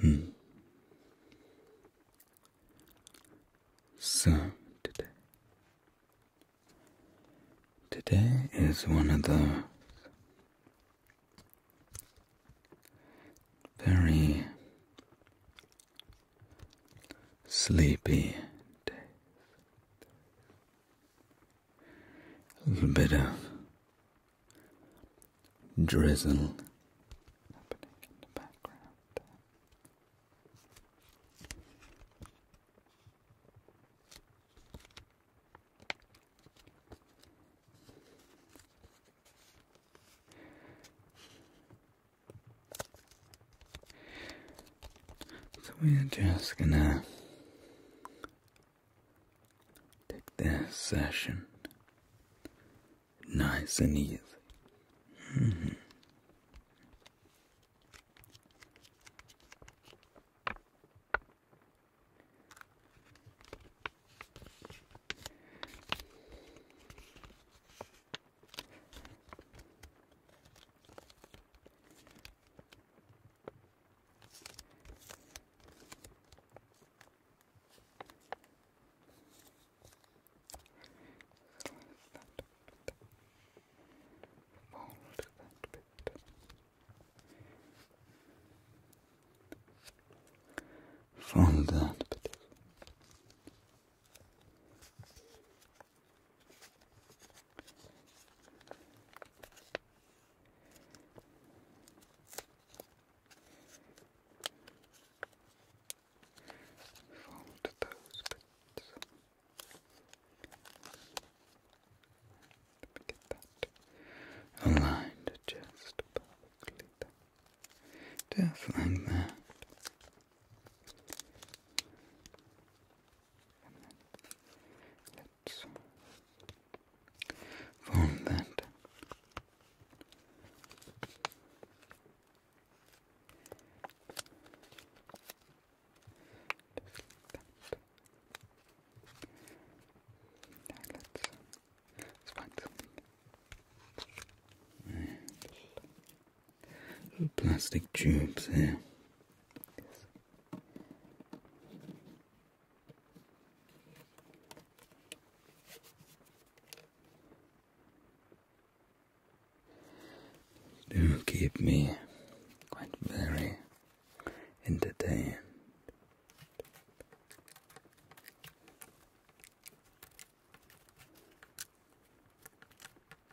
Hmm. So today, today is one of the very sleepy days a little bit of drizzle happening in the background. So we're just gonna take this session nice and easy. Mm-hmm. Fold that bit. Fold that bit. Fold those bits. Let me get that aligned just perfectly there. like that and then let's form that let's, find something plastic tubes here. Do keep me quite very entertained.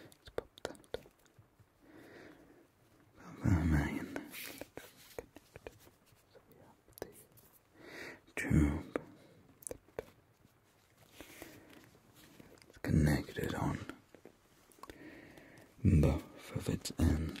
Let's pop that. Pop that tube. It's connected on both of its ends.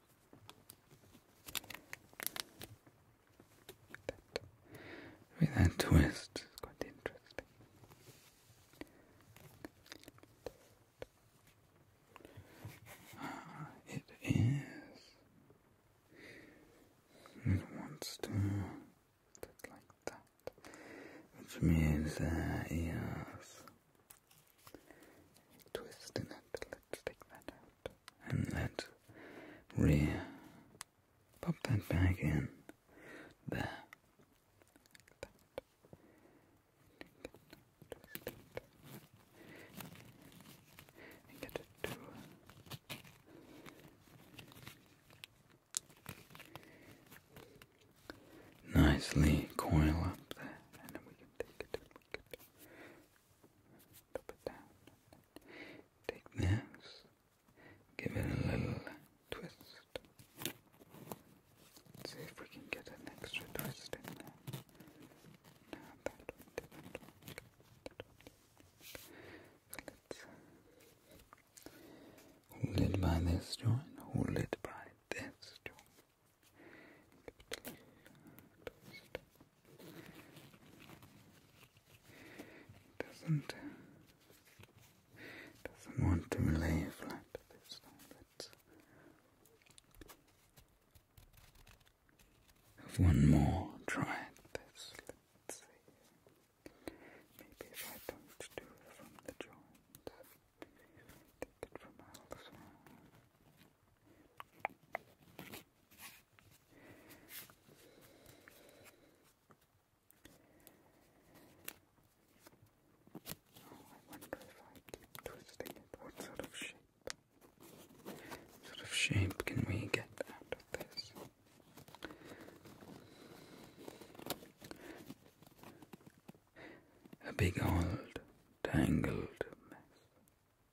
With that twist, it's quite interesting. Ah, it is. It wants to sit like that, which means that uh, is a twist in it. Let's take that out and that rear. Pop that back in. There. get it to nicely coil up there, Pop it down. Take this, give it a little twist. see if we can get an extra twist in there. No, that one didn't hold it by this joint, hold it by this joint. Give it a little twist. Doesn't doesn't want to lay flat this time. have one more try this. let Maybe if I don't do it from the joint, take it from elsewhere. I wonder if I keep twisting it, what sort of shape? What sort of shape can we get out of this? A big old tangled mess.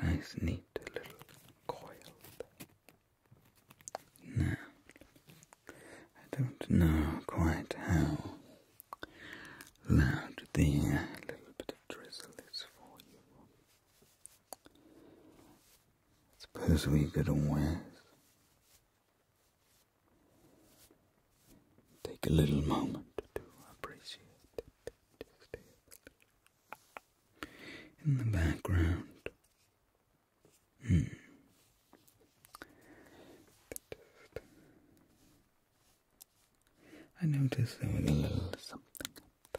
Nice, neat little coil. Now, I don't know quite how loud the uh, little bit of drizzle is for you. Suppose we could always take a little moment to appreciate it. In the background. Hmm. I noticed there was a little something up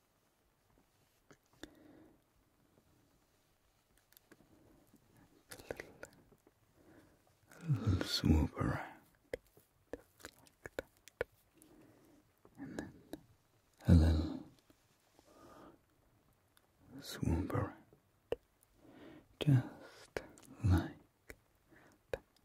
a little swoop around. And then a little swoop around. Just like that.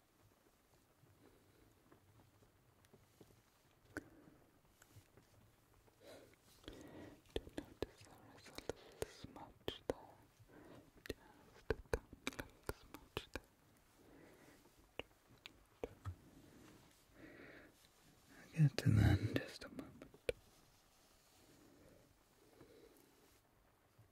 To notice the result of smudge there, just a little smudge there. I'll get to that in just a moment.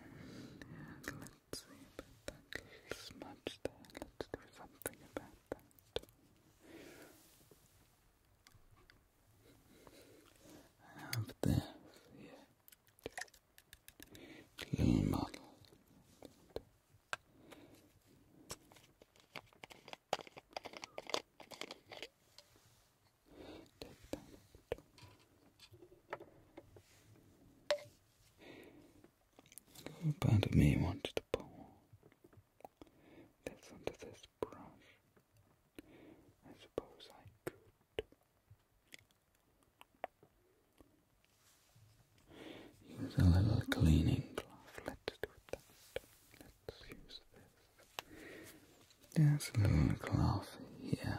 And let's see about that little smudge there. Let's do something about that. I have this Little model part of me wanted to pull this under this brush. I suppose I could use a little cleaning cloth. Let's do that. Let's use this. There's a little cloth here.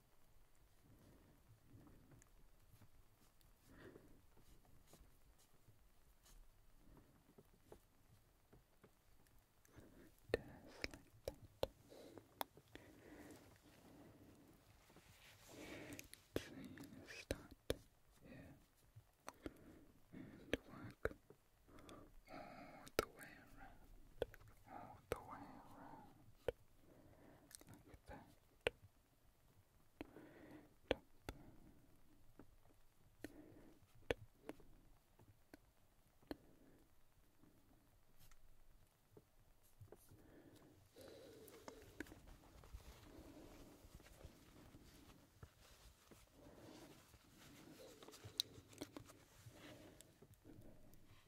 Just like start here and work all the way around all the way around, like that.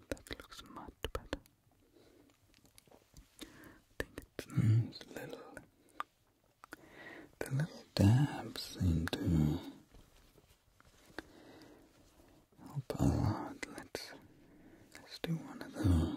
that looks much better. I think it's mm, little the little dabs seem to help a lot. Let's let's do one of those.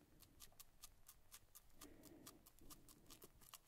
Those little tabs around this compartment.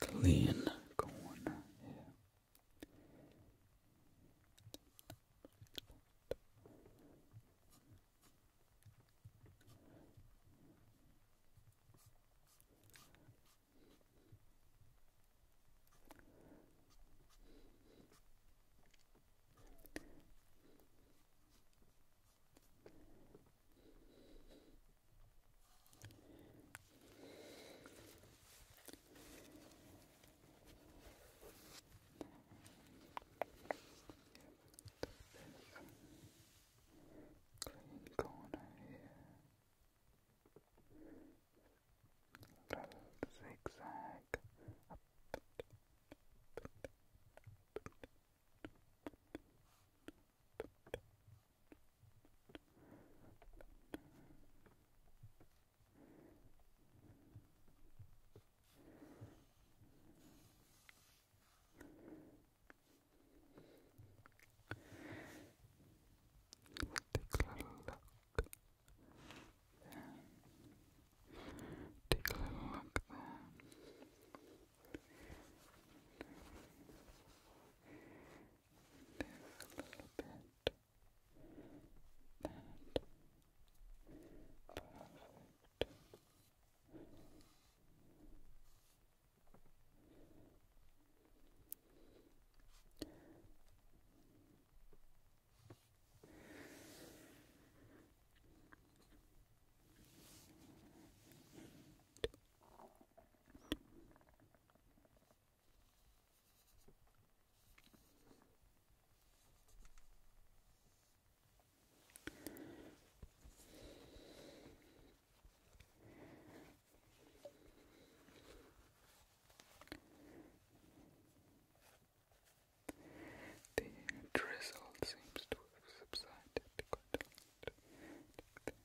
clean corn clean corner here. Little zigzag up. Up, Take a little look Take a little look there. There's a little bit. And perfect. The drizzle seems to have subsided quite a lot.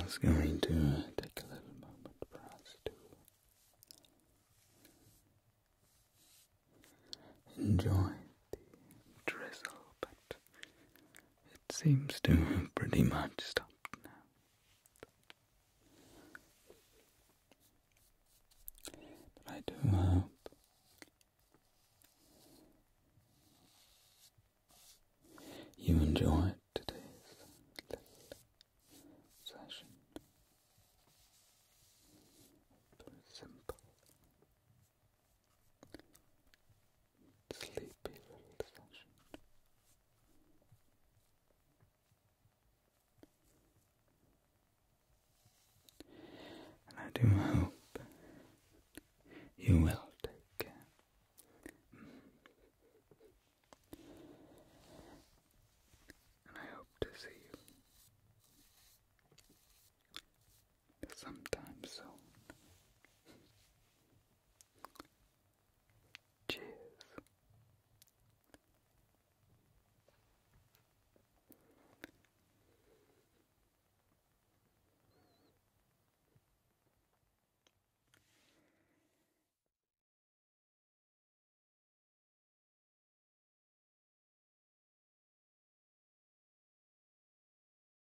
I was going to take a little moment for us to enjoy the drizzle, but it seems to have pretty much stopped now. But I do hope you enjoyed today's little session. simple sleepy little session. I do hope you will take And I hope to see you sometime soon. Cheers.